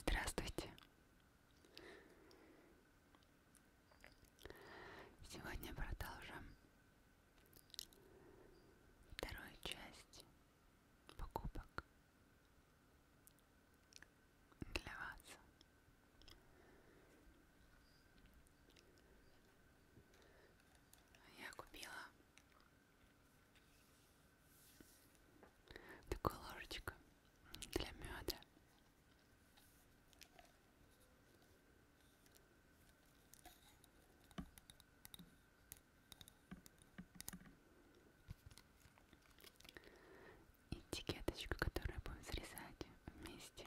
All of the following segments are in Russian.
Здравствуйте. Сегодня продолжим вторую часть покупок для вас. Я купила такой ложечка для меда. Этикеточку, которую будем срезать вместе.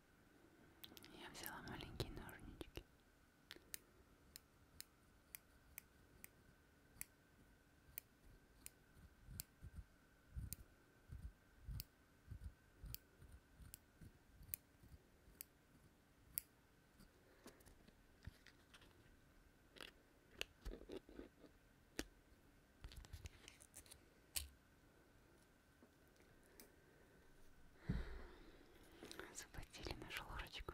Я взяла маленькие ножнички. Заплатили нашу лорочку.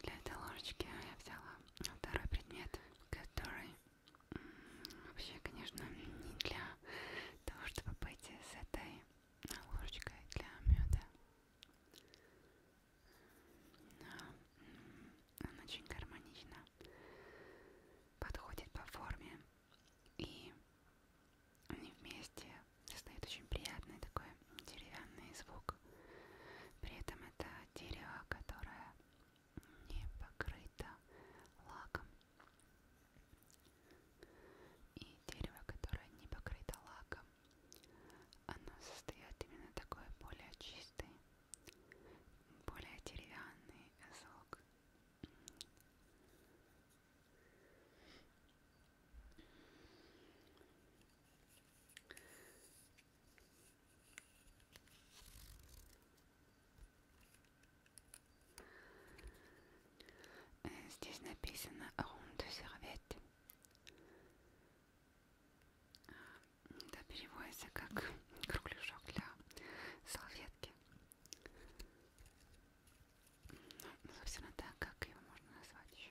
Для этой ложечки я взяла второй предмет, который вообще, конечно, не для того, чтобы быть с этой ложечкой для меда. Он очень гармонично подходит по форме, и они вместе создают очень приятный такой деревянный звук. При этом это дерево, которое не покрыто лаком. И дерево, которое не покрыто лаком, оно создает именно такой более чистый более деревянный звук. Э, здесь написано «Room de serviette». Да, переводится как кругляшок для салфетки. Ну, собственно, так, как его можно назвать еще.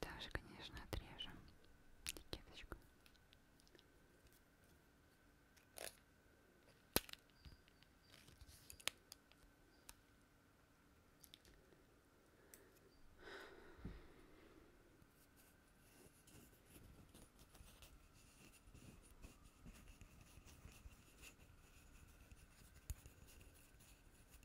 Также, конечно, отрежем этикеточку.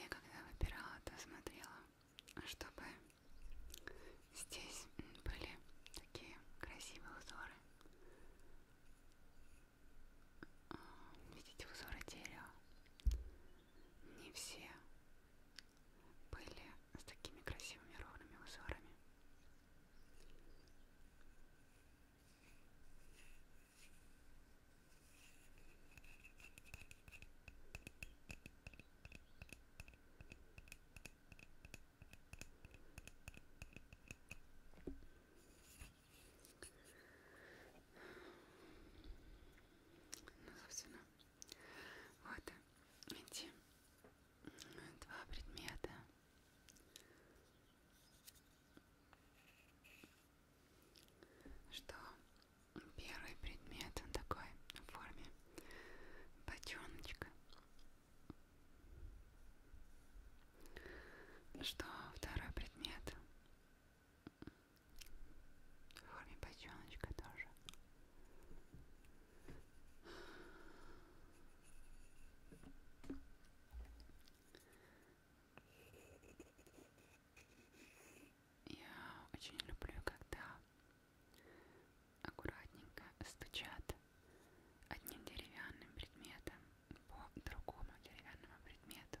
Я когда выбирала, то смотрела, чтобы здесь были такие красивые узоры видите узоры дерева. Не все были с такими красивыми ровными узорами. Ну, собственно, вот эти э, два предмета. Что первый предмет, он такой в форме бочоночка. Ну что второй предмет? В форме бочоночка тоже. Я очень люблю, когда аккуратненько стучат одним деревянным предметом по другому деревянному предмету.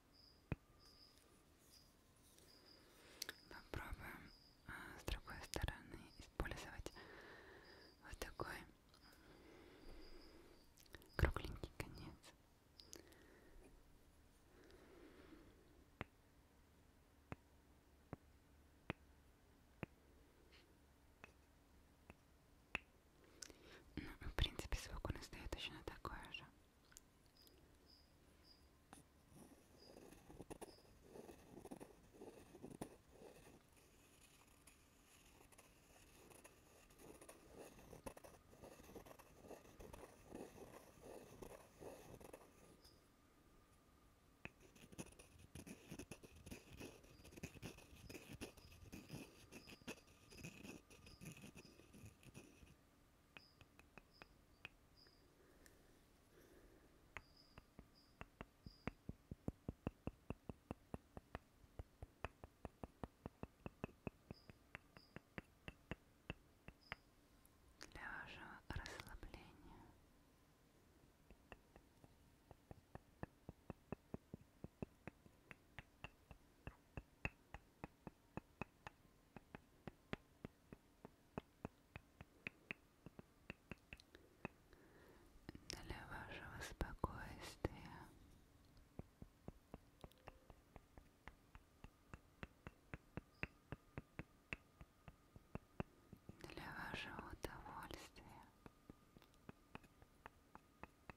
Попробуем а, с другой стороны использовать вот такой кругленький конец. Итак, ну, в принципе, звук он издает точно такой же для вашего расслабления. Для вашего спокойствия для вашего удовольствия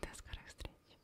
До скорых встреч.